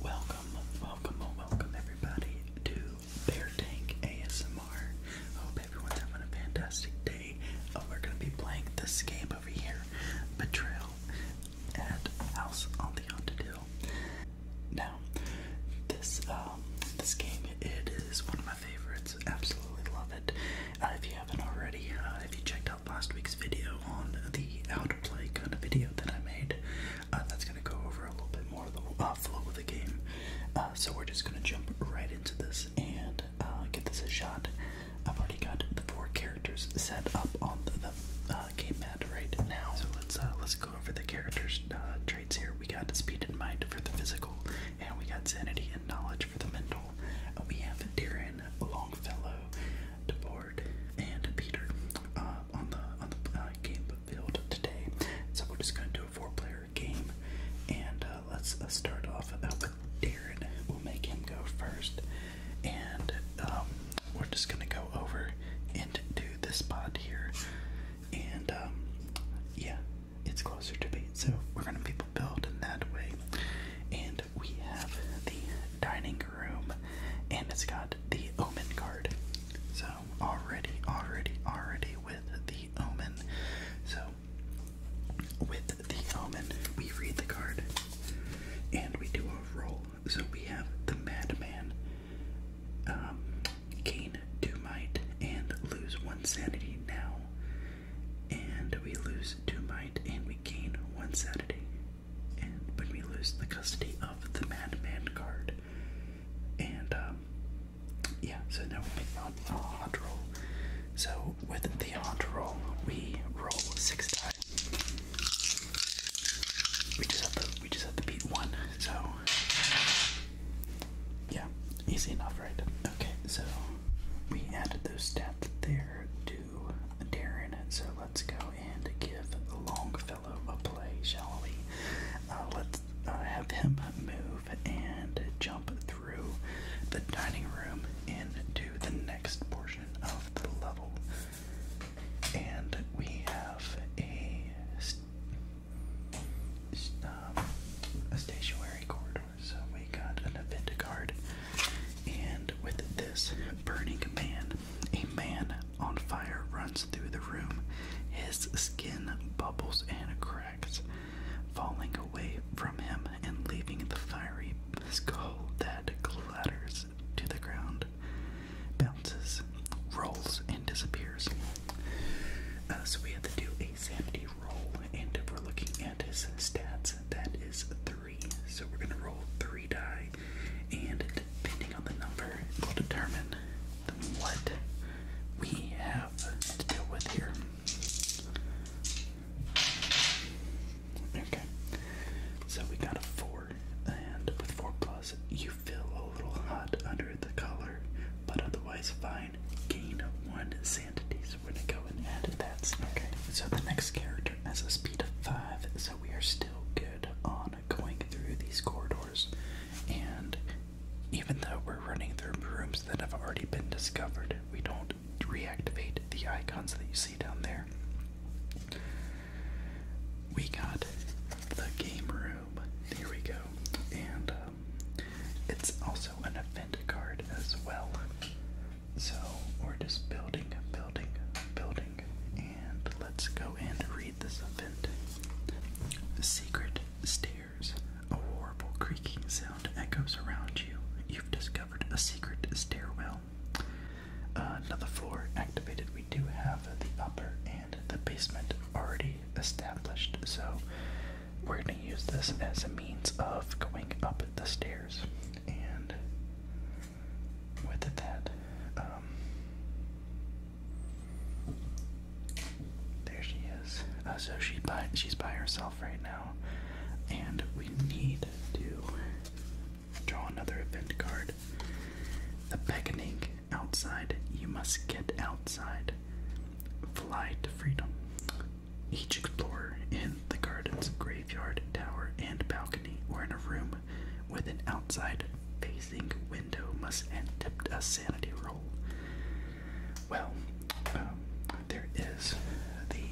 Welcome, welcome, welcome everybody to Bear Tank ASMR. Hope everyone's having a fantastic day. Uh, we're gonna be playing this game over here, Betrayal at House on the Haunted Hill. Now, this um, this game it is one of my favorites. Absolutely love it. Uh, if you haven't already, uh, if you checked out last week's video on the how to play kind of video that I made, uh, that's going to go over a little bit more the uh, flow of the game. Uh, so we're just going to jump right into this and uh, give this a shot. I've already got the four characters set up on the, the game mat right now. So let's let's go over the characters' traits here. We got speed and mind for the physical, and we got sanity and knowledge for the mental. we have Darren Longfellow. DeBoard, and Peter uh, on the on the uh, game field today. So we're just going to do a four-player game, and uh, let's uh, start off with Darren. We'll make him go first, and um, we're just going to go over and do this spot here, and um, yeah, it's closer to me, so we're going to be build in that way, and we have the dining room, and it's got the Omen card. So already, already, already with the Omen. So with the Omen, we read the card, and we do a roll. So we have the Madman, um, gain two might and lose one sanity now, and we lose two might and we gain one sanity and when we lose the custody of the Madman card. And, um, yeah, so now we make a, a roll. So, with the odd roll, we roll six dice. We just have to, we just have to beat one, so... Yeah, easy enough, right? Okay, so we added those steps there to to Darren, so let's go and give Longfellow a play, shall we? Uh, let's uh, have him move and jump through the dining room into the next portion of the level. And we have a, um, a stationary corridor, so we got an event card. And with this, Burning Man a man on fire runs through the room. His skin bubbles and cracks, falling away from him and leaving the fiery skull that clatters to the ground, bounces, rolls, and disappears. so we have to do a sanity roll, and if we're looking at his stats, that is 3. So we're gonna roll three die, and depending on the number, it will determine what we have to deal with here. Okay. So we got a four, and with four plus, you feel a little hot under the collar, but otherwise fine. Gain one sanity, so we're gonna go and add that. Okay. So the next character as a speed of 5, so we are still good on going through these corridors. And even though we're running through rooms that have already been discovered, we don't reactivate the icons that you see down there. We got the game room. There we go. And um, it's also an event card as well. So we're just building, building, building, and let's go and read this event. Secret stairs. A horrible creaking sound echoes around you. You've discovered a secret stairwell. another floor activated. We do have the upper and the basement already established, so we're going to use this as a means of going up the stairs. And with it, that, um, there she is. Uh, so she by, she's by herself right now, and we need to draw another event card. The beckoning outside. You must get outside. Fly to freedom. Each explorer in the garden's graveyard, tower, and balcony, or in a room with an outside facing window, must attempt a sanity roll. Well, um, there is the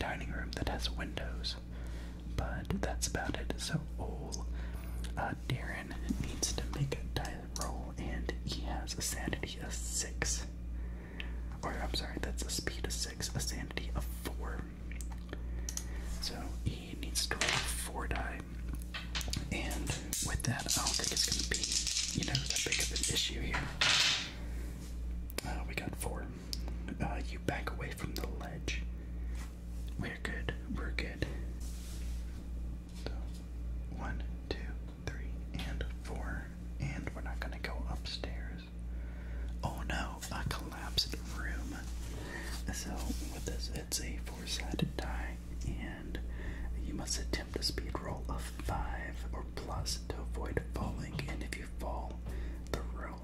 dining room that has windows, but that's about it. So, old uh, Darren needs to make a diet roll, and he has a sanity of six. Or I'm sorry, that's a speed of six, a sanity of four. So he needs to roll four die. And with that, I don't think it's gonna be, you know, that big of an issue here. Uh, we got four. Uh, you back away from the ledge. We're good. We're good. So, one, two, three, and four. And we're not gonna go upstairs. Oh no, I collapse in the room. So, with this, it's a four sided die, and you must attempt a speed roll of five or plus to avoid falling. And if you fall the roll,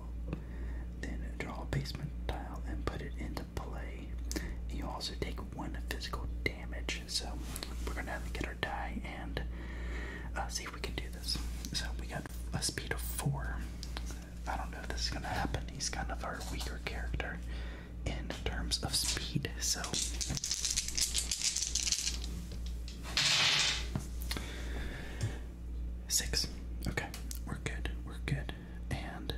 then draw a basement tile and put it into play. You also take one physical damage, so we're gonna have to get our die and uh, see we can do this. So we got a speed of four. I don't know if this is gonna happen. He's kind of our weaker character in terms of speed. So six. Okay, we're good. We're good. And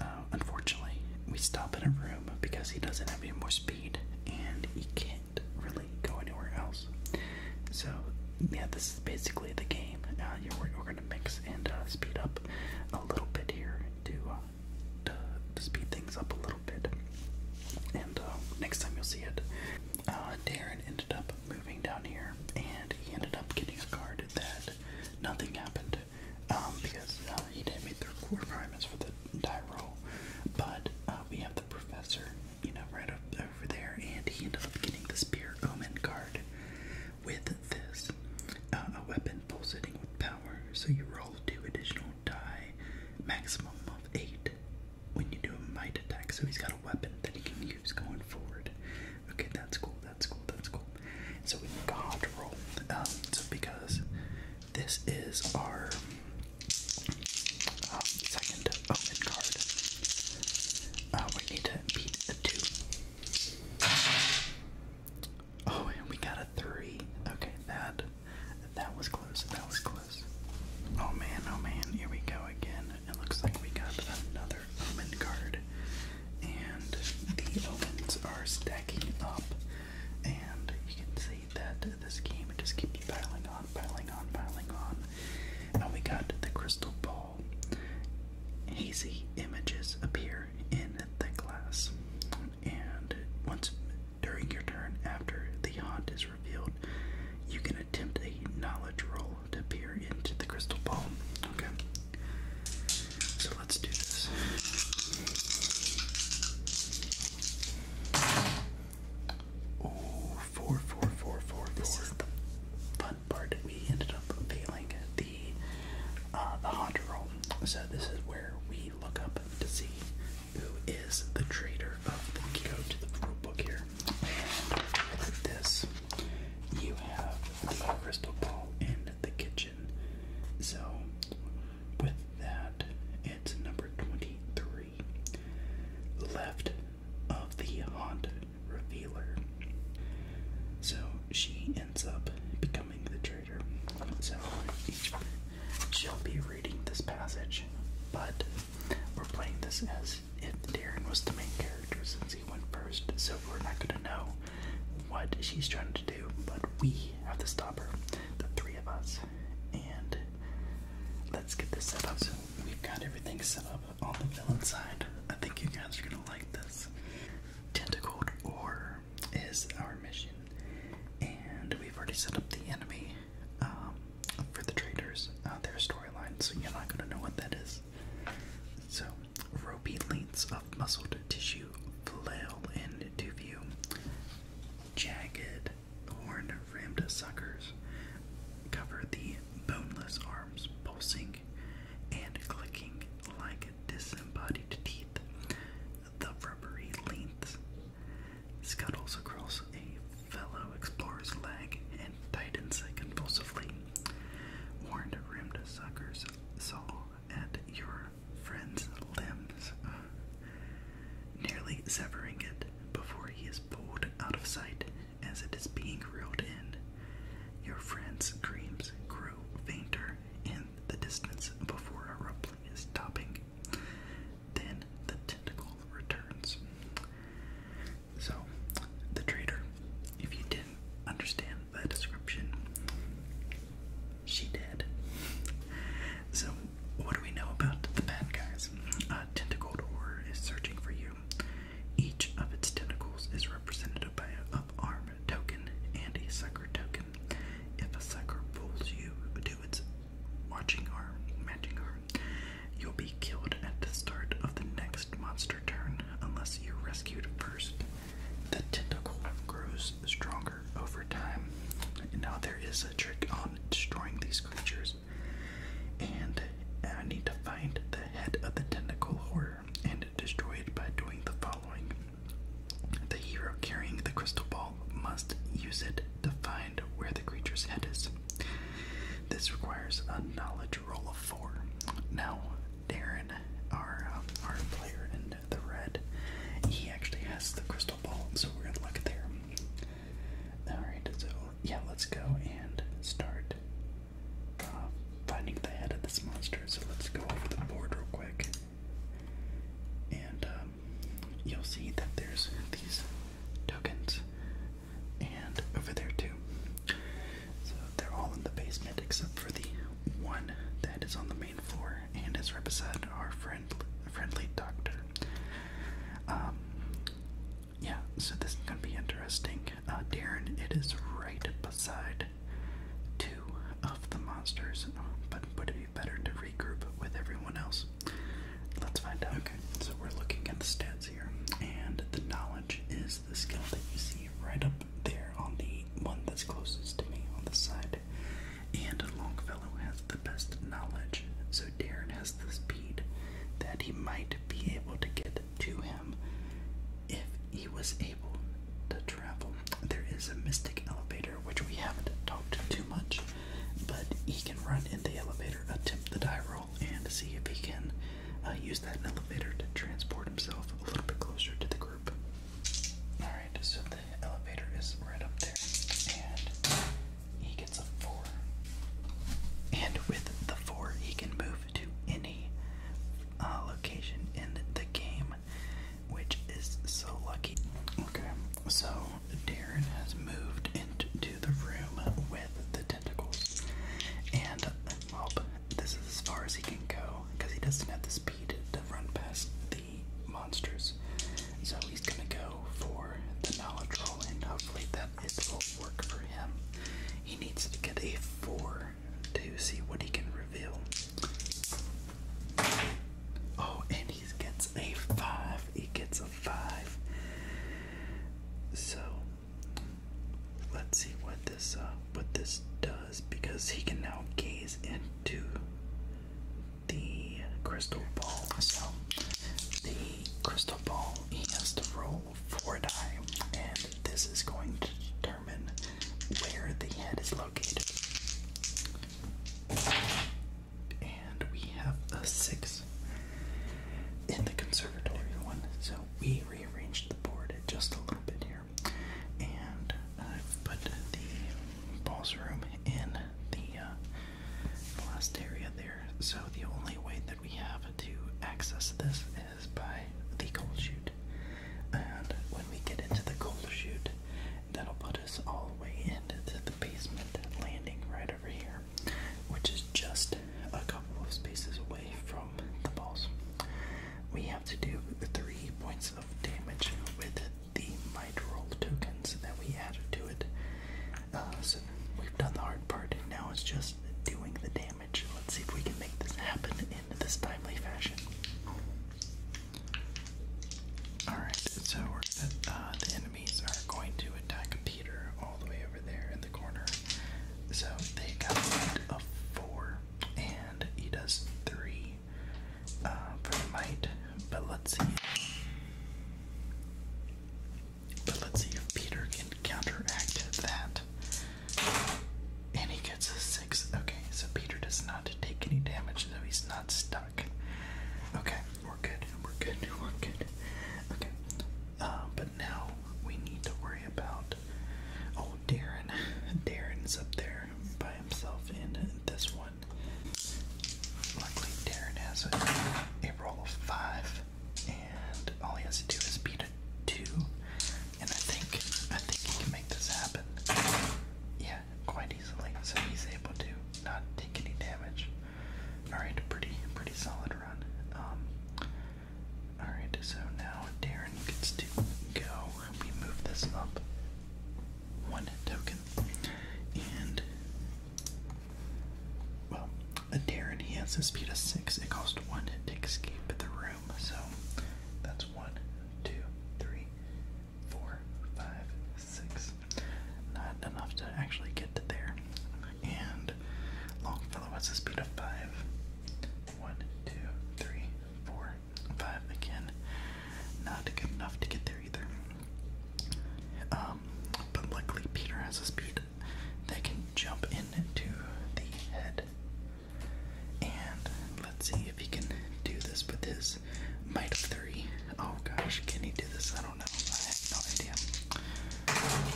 uh, unfortunately, we stop in a room because he doesn't have any more speed, and he can't really go anywhere else. So yeah, this is basically the game. Uh, we're, we're gonna mix and uh, speed up a little bit here uh, to, to speed things up a little bit. And uh, next time you'll see it. Uh, Darren ended up moving down here, and he ended up getting a card that nothing happened um, because he didn't meet their core requirements for the die roll. But uh, we have the professor, you know, right over there, and he ended up getting the Spear Omen card with this. Uh, a weapon pulsating with power, so you roll two additional die, maximum of eight, when you do a might attack. So he's got a weapon that he can use going forward. Okay, that's cool, that's cool, that's cool. So we make a roll. Um, because this is our uh, second open card. Uh, we need to beat a two. Oh, and we got a three. Okay, that that was close. That was close. Oh man, oh man, here we go again. It looks like we got another omen card. And the omens are stacking up and you can see that this game just keeps piling on, piling on, piling on. Now we got the crystal ball. Hazy images appear in the glass, and once during your turn, after the haunt is revealed, you can attempt a knowledge roll to peer into the crystal ball. Okay, so let's do this. Oh, four, four, four, four, This is the fun part. We ended up failing the uh, the Honda roll. So this is where we look up to see who is the traitor of the code to the rule book here. And with this, you have the crystal ball in the kitchen. So with that, it's number 23 left of the haunt revealer. So she ends up becoming the traitor. So she'll be reading this passage, but we're playing this as if Daren was the main character since he went first, so we're not gonna know what she's trying to do, but we have to stop her the three of us, and let's get this set up. So we've got everything set up on the villain side. I think you guys are gonna like this. Tentacled Ore is our mission, and we've already set up the enemy um, for the traders, uh, their storyline, so you're not gonna know what that is. So, ropey lengths of muscled tissue flail into view jagged, horned rimmed suckers cover the boneless arms, pulsing and clicking like disembodied teeth. The rubbery length scuttles across a fellow explorer's leg and tightens convulsively. Horned rimmed suckers saw at your friend's limbs, uh, nearly severing it before he is pulled out of sight as it is being reeled in. Your friend's screams grow fainter in the distance before a rumbling is topping. Then the tentacle returns. So, the trader, if you didn't understand that description, she did. So, what do we know about the bad guys? Uh, tentacled Horror is searching for you. Each of its tentacles is represented by an up arm token and a sucker token. If a sucker pulls you to its watching arm, matching arm, you'll be killed at the start of the next monster turn unless you're rescued first. The tentacle grows stronger over time. Now, there is a trick on destroying these creatures, and I need to find the head of the tentacle horror and destroy it by doing the following. The hero carrying the crystal ball must use it to find where the creature's head is. This requires a knowledge roll of four. Now, Darren, our, um, our player and the red. He actually has the crystal ball, so we're gonna look there. Alright, so yeah, let's go and start uh, finding the head of this monster. So let's go over the board real quick. And um, you'll see that there's these tokens. And over there too. So they're all in the basement except for the one that is on the main floor and as Rip said, our friend, friendly doctor. Um, yeah, so this is gonna be interesting. Uh, Darren, it is right beside two of the monsters, but would it be better to regroup with everyone else? Let's find out. Okay, so we're looking at the stats here, and the knowledge is the skill that you see right up there on the one that's closest to me on the side. And Longfellow has the best knowledge, so Darren has the speed that he might be able to get to him if he was able to travel. There is a mystic elevator which we haven't talked too much, but he can run in the elevator, attempt the die roll, and see if he can uh, use that elevator to transport himself a little bit closer to the group. Alright, so the elevator is right up there, and he gets a 4. And with the 4, he can move to any uh, location in the game, which is so lucky. Okay, so Darren has moved into the room with the tentacles, and well, this is as far as he can go because he doesn't have the speed speed to run past the monsters. So he's gonna go for the knowledge roll, and hopefully that will work for him. He needs to get a four to see what he can reveal. Oh, and he gets a five. He gets a five. So let's see what this uh, what this does because he can now gaze into the crystal ball. So the crystal ball he has to roll four die, and this is going to determine where the head is located. And we have a six in the conservatory one, so we rearranged the board just a little bit here. And I've uh, put the ballsroom in the, uh, last area there. So the only way that we have to access this is by the gold chute. And when we get into the gold chute, that'll put us all the way into the basement landing right over here, which is just a couple of spaces away from the balls. We have to do three points of damage with the might roll tokens that we added to it. Uh, so we've done the hard part, and now it's just doing the damage. Let's see if we can make this happen in this timely fashion. Alright, so we're going uh, the enemies are going to attack Peter all the way over there in the corner. So they got a of four and he does three uh, for might. But let's see. But let's see if Peter can counteract that. And he gets a six. Okay, so Peter does not take any damage, though he's not stuck. Okay, we're good. We're good. We're good. Okay. Uh, but now we need to worry about Oh, Darren. Darren's up there by himself in this one. Luckily, Darren has a, a roll of five, and all he has to do is beat a two. And I think I think he can make this happen. Yeah, quite easily. So he's able to not take any damage. All right, pretty pretty solid run. Um, Alright, so now Darren gets to go. We move this up one token. And well, Darren he has a speed of six. It costs one to escape the room. So that's one, two, three, four, five, six. Not enough to actually get to there. And Longfellow has a speed of five. One, two, three, four, five. Again, not good enough to get there either. Um, but luckily Peter has a speed that can jump into the head. And let's see if he can do this with his might of three. Oh gosh, can he do this? I don't know. I have no idea.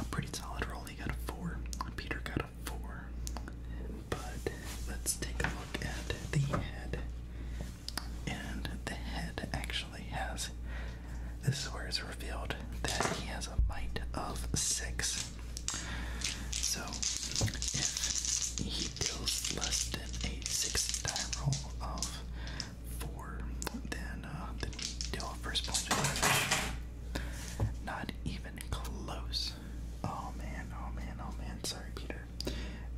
A pretty solid roll. He got a four. Peter got four. But let's take a look at the head. And the head actually has this is where it's revealed that he has a might of six. So if he deals less than a six die roll of four, then uh, then we deal a first point not even close. Oh man, oh man, oh man. Sorry, Peter.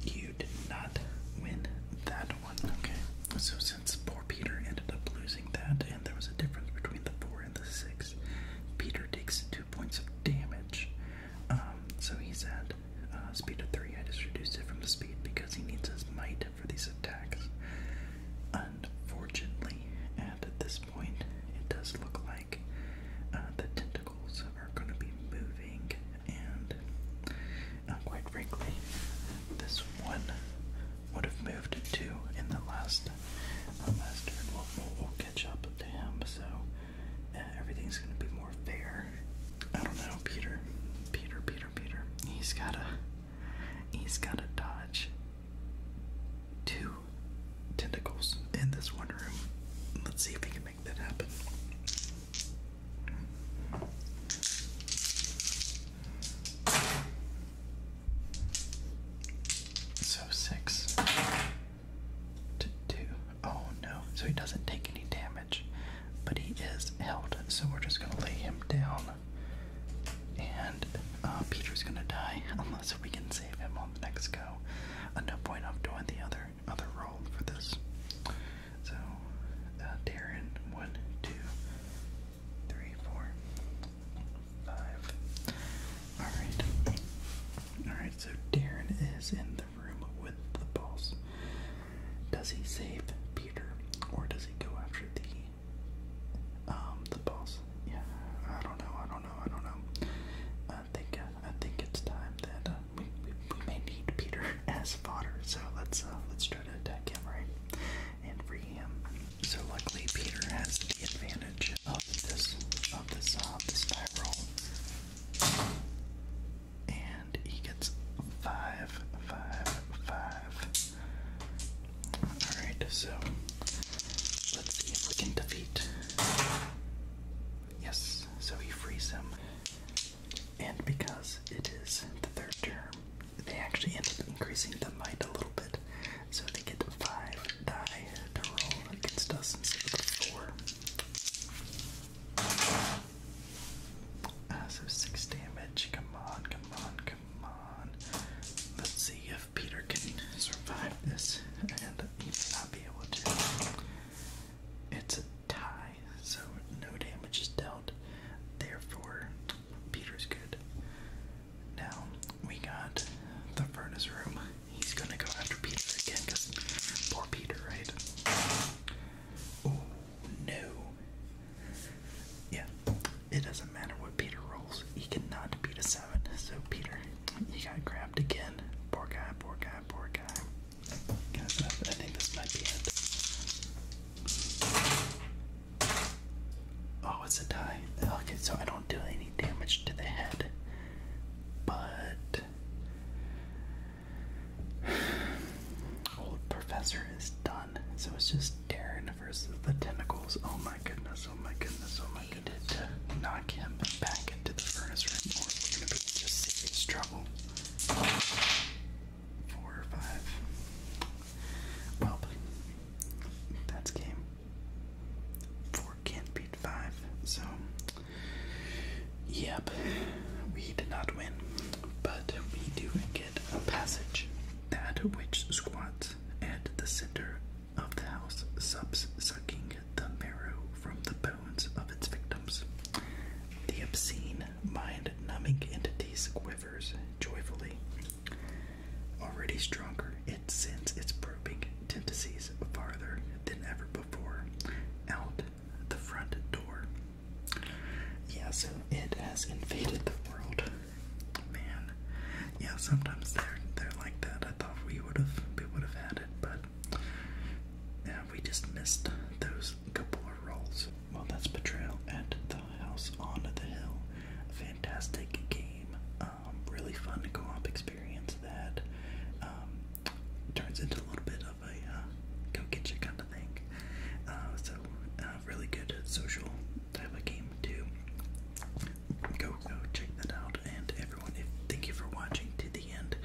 You did not win that one, okay? So, since poor Peter ended up losing that, and there was a difference between the four and the six, Peter takes two points of damage. Um, so he's at uh, speed of three. I just reduced it from the speed because he needs his might for these attacks. Uh, Fortunately, at this point, it does look like uh, the tentacles are going to be moving, and uh, quite frankly, this one would have moved to in the last uh, last We'll, catch up to him, so uh, everything's going to be more fair. I don't know, Peter. Peter, Peter, Peter. He's got a He's got a dodge two tentacles in this one room. Let's see if he can make that happen. So six to two. Oh no. So he doesn't take any damage, but he is held. So we're just going to lay him down and uh, Peter's gonna die unless we can save him on the next go. At no point I'm doing the other other roll for this. So uh, Darren, one, two, three, four, five. Alright. Alright, so Darren is in the room with the balls. Does he save Peter or does he go after the um, the boss. Yeah, I don't know. I don't know. I don't know. I think uh, I think it's time that uh, we, we may need Peter as fodder. So let's uh, let's try to attack him right and free him. So luckily Peter has the advantage of this of this of this die roll, and he gets five, five, five. Alright, so let's see if we can defeat. Yes, so he frees him. And because it is the third turn, they actually end up increasing the might a little bit. So they get five die to roll against us instead of four. Uh, so six damage. Come on, come on, Let's see if Peter can survive this. And he's not be able to. It's a tie, so no damage is dealt. Therefore, Peter's good. Now, we got the furnace room. He's gonna go after Peter again, because poor Peter, right? Oh, no. Yeah, it doesn't matter what Peter rolls, he cannot beat a 7. So, Peter, he got grabbed again. Poor guy, poor guy, poor guy. I think this might be it. Oh, it's a tie. Okay, so I don't do any damage to the head, but. Old Professor is done, so it's just Darren iron versus the tentacles. Oh my goodness, oh my goodness, oh my goodness. To knock him back into the furnace room, or we're gonna be just serious trouble. Four or five. Well, that's game. Four can't beat five, so yep, we did not win, but we do get a passage, that which squats at the center of the house, subs sucking the marrow from the bones of its victims. The obscene, mind numbing entity quivers joyfully. Already stronger, it sends its probing tentacles farther than ever before out the front door. Yeah, so it has invaded the world Man, yeah. Sometimes they're they're like that. I thought we would have we would have had it, but yeah, we just missed those couple of rolls. Well, that's Betrayal at the House on the Hill. fantastic game. Um, really fun co-op experience that um, turns into a little bit of a uh, go get you kind of thing. Uh, so uh, really good social type of game too. Go go check that out and everyone thank you for watching to the end.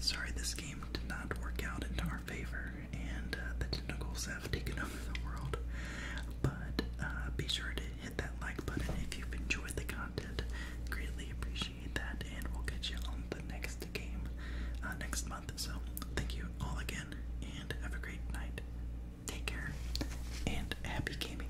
Sorry this game did not work out into our favor and uh, the tentacles have taken over the world. But uh, be sure to hit that like button if you've enjoyed the content. Greatly appreciate that and we'll catch you on the next game uh, next month. So thank you all again and have a great night. Take care and happy gaming.